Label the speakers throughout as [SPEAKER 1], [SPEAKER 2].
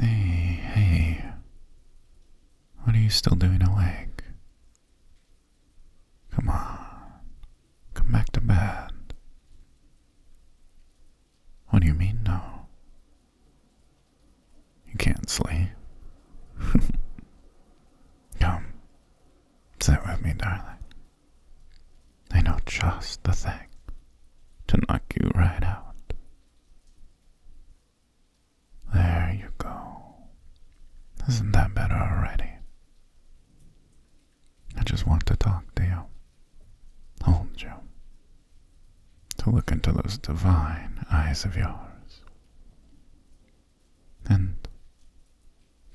[SPEAKER 1] Hey, hey. What are you still doing awake? Come on. Come back to bed. What do you mean, no? You can't sleep. Come. Sit with me, darling. They know just the thing to knock you right out. There you go. Isn't that better already? I just want to talk to you, hold you, to look into those divine eyes of yours, and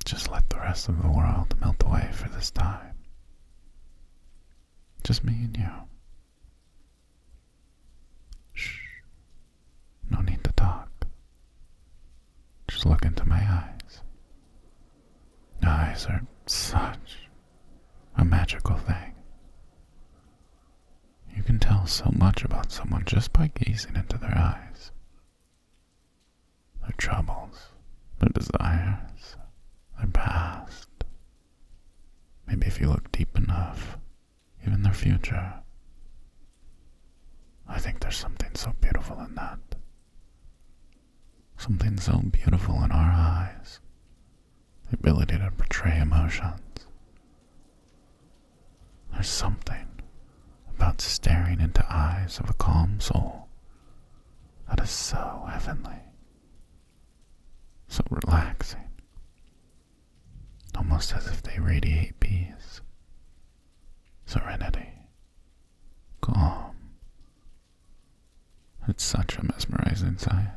[SPEAKER 1] just let the rest of the world melt away for this time. Just me and you. Shh. No need to talk. Just look into my eyes. Eyes are such a magical thing. You can tell so much about someone just by gazing into their eyes their troubles, their desires, their past. Maybe if you look deep enough, even their future. I think there's something so beautiful in that. Something so beautiful in our eyes. The ability to portray emotions. There's something about staring into eyes of a calm soul that is so heavenly, so relaxing, almost as if they radiate peace, serenity, calm. It's such a mesmerizing sight.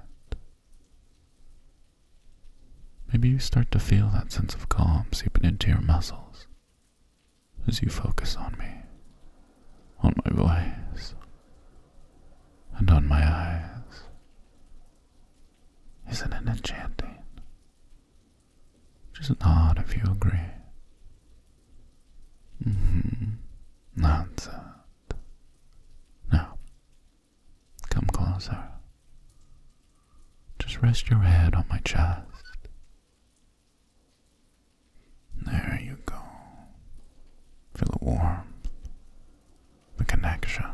[SPEAKER 1] Maybe you start to feel that sense of calm seeping into your muscles, as you focus on me, on my voice, and on my eyes. Isn't it enchanting? Just nod if you agree. Mm-hmm. That's it. Now, come closer. Just rest your head on my chest there you go. Feel the warmth, the connection.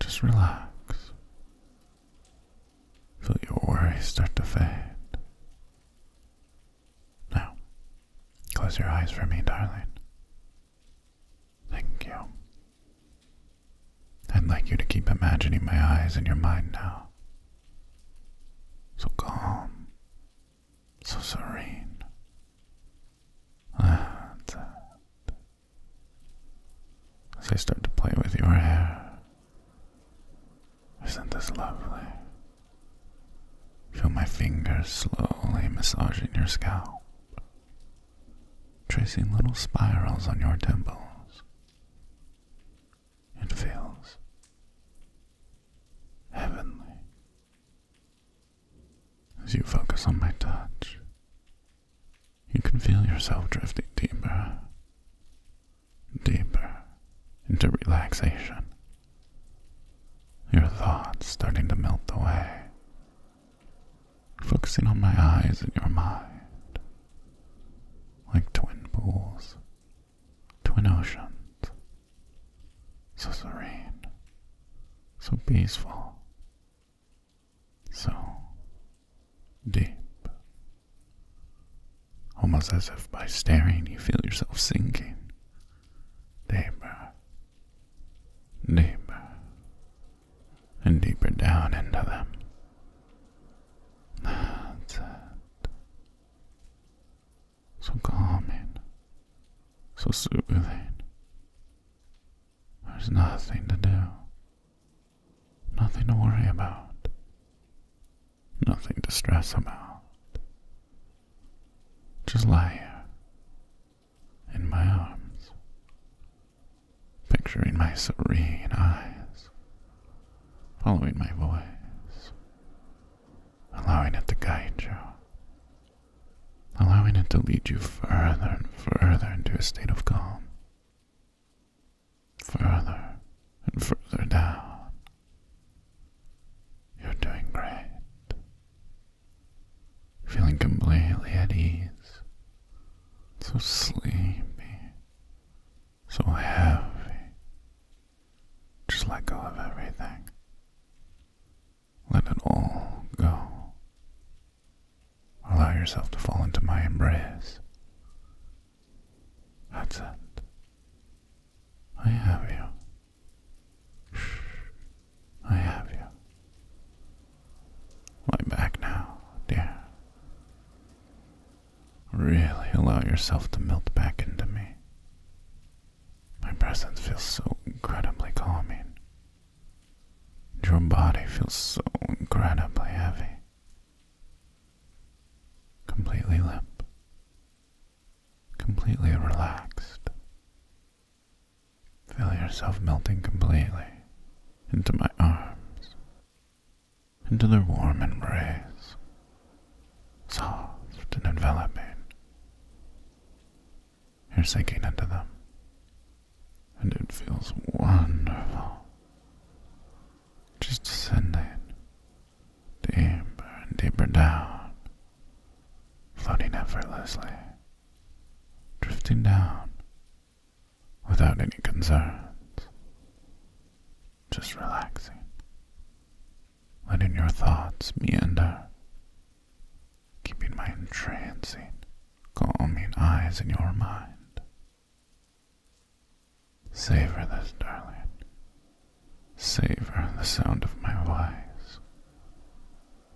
[SPEAKER 1] Just relax. Feel your worries start to fade. Now, close your eyes for me, darling. Thank you. I'd like you to keep imagining my eyes in your mind now. So calm, so serene. Uh, as I start to play with your hair, isn't this lovely? Feel my fingers slowly massaging your scalp, tracing little spirals on your temples. It feels heavenly as you focus on my touch. You can feel yourself drifting deeper, deeper into relaxation. Your thoughts starting to melt away, focusing on my eyes and your mind, like twin pools, twin oceans, so serene, so peaceful, so deep. Almost as if by staring you feel yourself sinking deeper, deeper, and deeper down into them. That's it. So calming, so soothing. There's nothing to do, nothing to worry about, nothing to stress about. Just lie here in my arms, picturing my serene eyes, following my voice, allowing it to guide you, allowing it to lead you further and further into a state of calm, further and further down. You're doing great. Feeling completely at ease so sleepy, so heavy. Just let go of everything. Let it all go. Allow yourself to fall into my embrace. That's it. I have you. I have you. Lie back now, dear. Really allow yourself to melt back into me. My presence feels so incredibly calming. Your body feels so incredibly heavy. Completely limp. Completely relaxed. Feel yourself melting completely into my arms, into their warm embrace, soft and enveloping. You're sinking into them, and it feels wonderful. Just descending deeper and deeper down, floating effortlessly, drifting down without any concerns, just relaxing, letting your thoughts meander, keeping my entrancing, calming eyes in your mind. Savor this, darling. Savor the sound of my voice,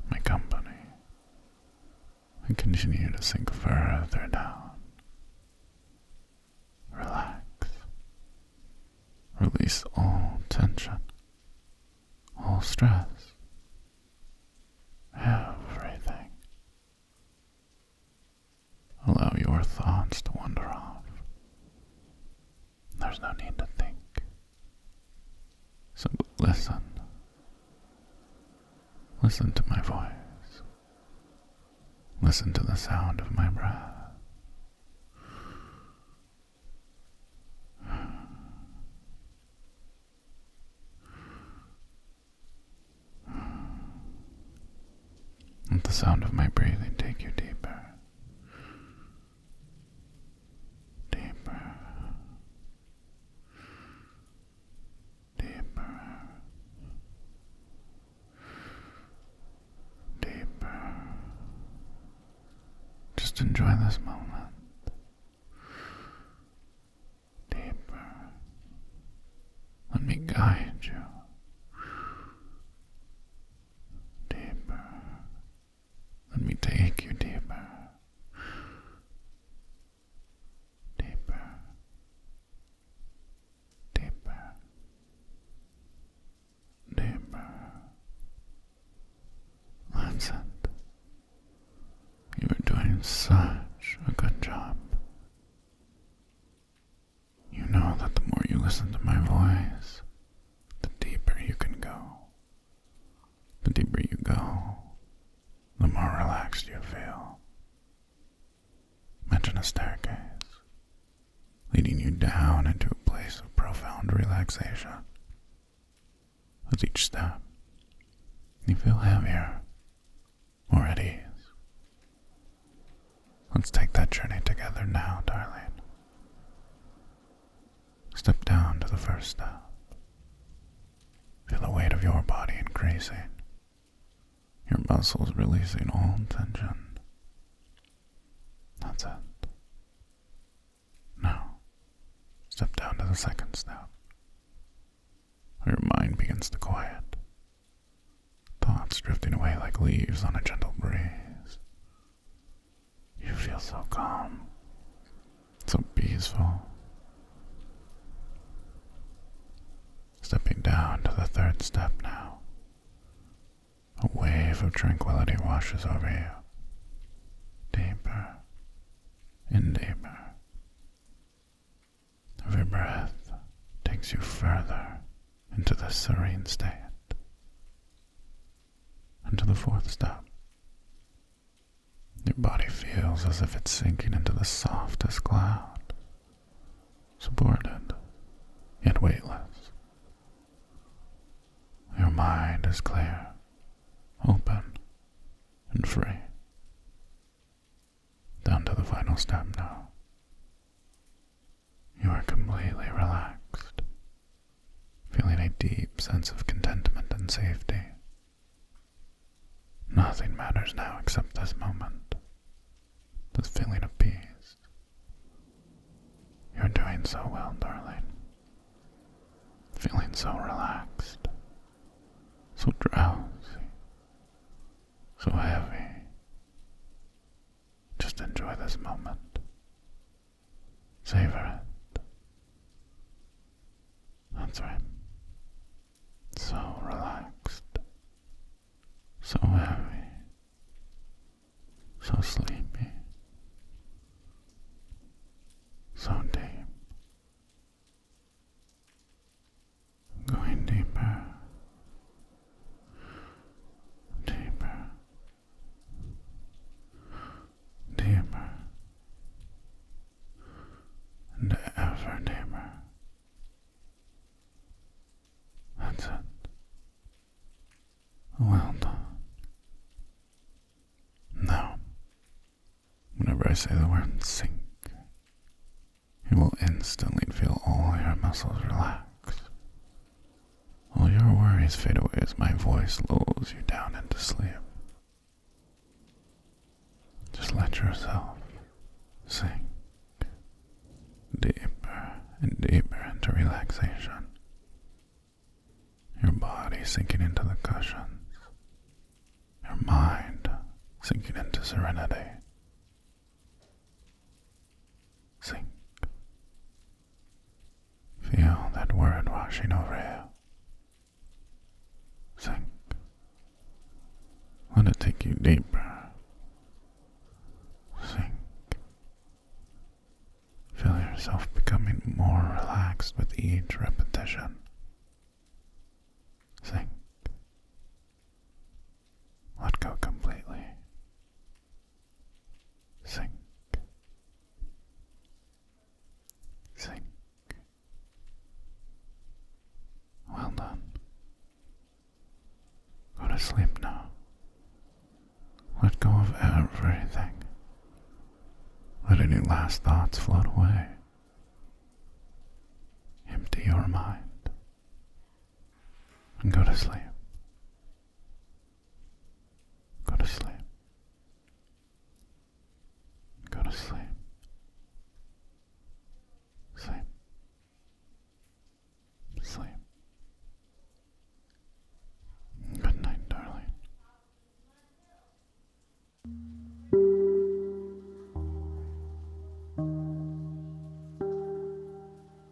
[SPEAKER 1] my company, and continue to sink further down. Relax. Release all tension, all stress, everything. Allow your thoughts to wander off. There's no need to think. So listen. Listen to my voice. Listen to the sound of my breath. Let the sound of my breathing take you deeper deeper, deeper, deeper. Just enjoy this moment. Deeper. Let me guide you. Deeper. Let me take you deeper. Deeper. Deeper. Deeper. That's You are doing such a good job. You know that the more you listen to my voice, the deeper you can go. The deeper you go, the more relaxed you feel. Imagine a staircase leading you down into a place of profound relaxation. With each step, you feel heavier, more at ease. Let's take that journey together now, darling. Step down to the first step. Feel the weight of your body increasing, your muscles releasing all tension. That's it. Now, step down to the second step. Your mind begins to quiet, thoughts drifting away like leaves on a gentle breeze. You feel so calm, so peaceful. Stepping down to the third step now, a wave of tranquility washes over you, deeper and deeper. Every breath takes you further into the serene state until the fourth step, Your body feels as if it's sinking into the softest cloud, supported, yet weightless. Your mind is clear, open, and free. Down to the final step now. You are completely relaxed, feeling a deep sense of contentment and safety. Nothing matters now except this moment, this feeling of peace. You're doing so well, darling. Feeling so relaxed, so drowsy, so heavy. Just enjoy this moment. Savor it. That's right. So relaxed. So heavy. So sleepy. So deep. Going deeper, deeper, deeper and ever deeper. That's it. Well done. Now, whenever I say the word sink, you will instantly feel all your muscles relax all your worries fade away as my voice lulls you down into sleep. Just let yourself sink deeper and deeper into relaxation, your body sinking into the cushions, your mind sinking into serenity. Sink. Feel that word washing over you. Sink. Let it take you deeper. Sink. Feel yourself becoming more relaxed with each repetition. Sink. Let go completely. Sink. Sink. Well done. Go to sleep now. Let go of everything. Let any last thoughts float away. Empty your mind and go to sleep. Go to sleep. Go to sleep. Sleep. Sleep. Good night, darling.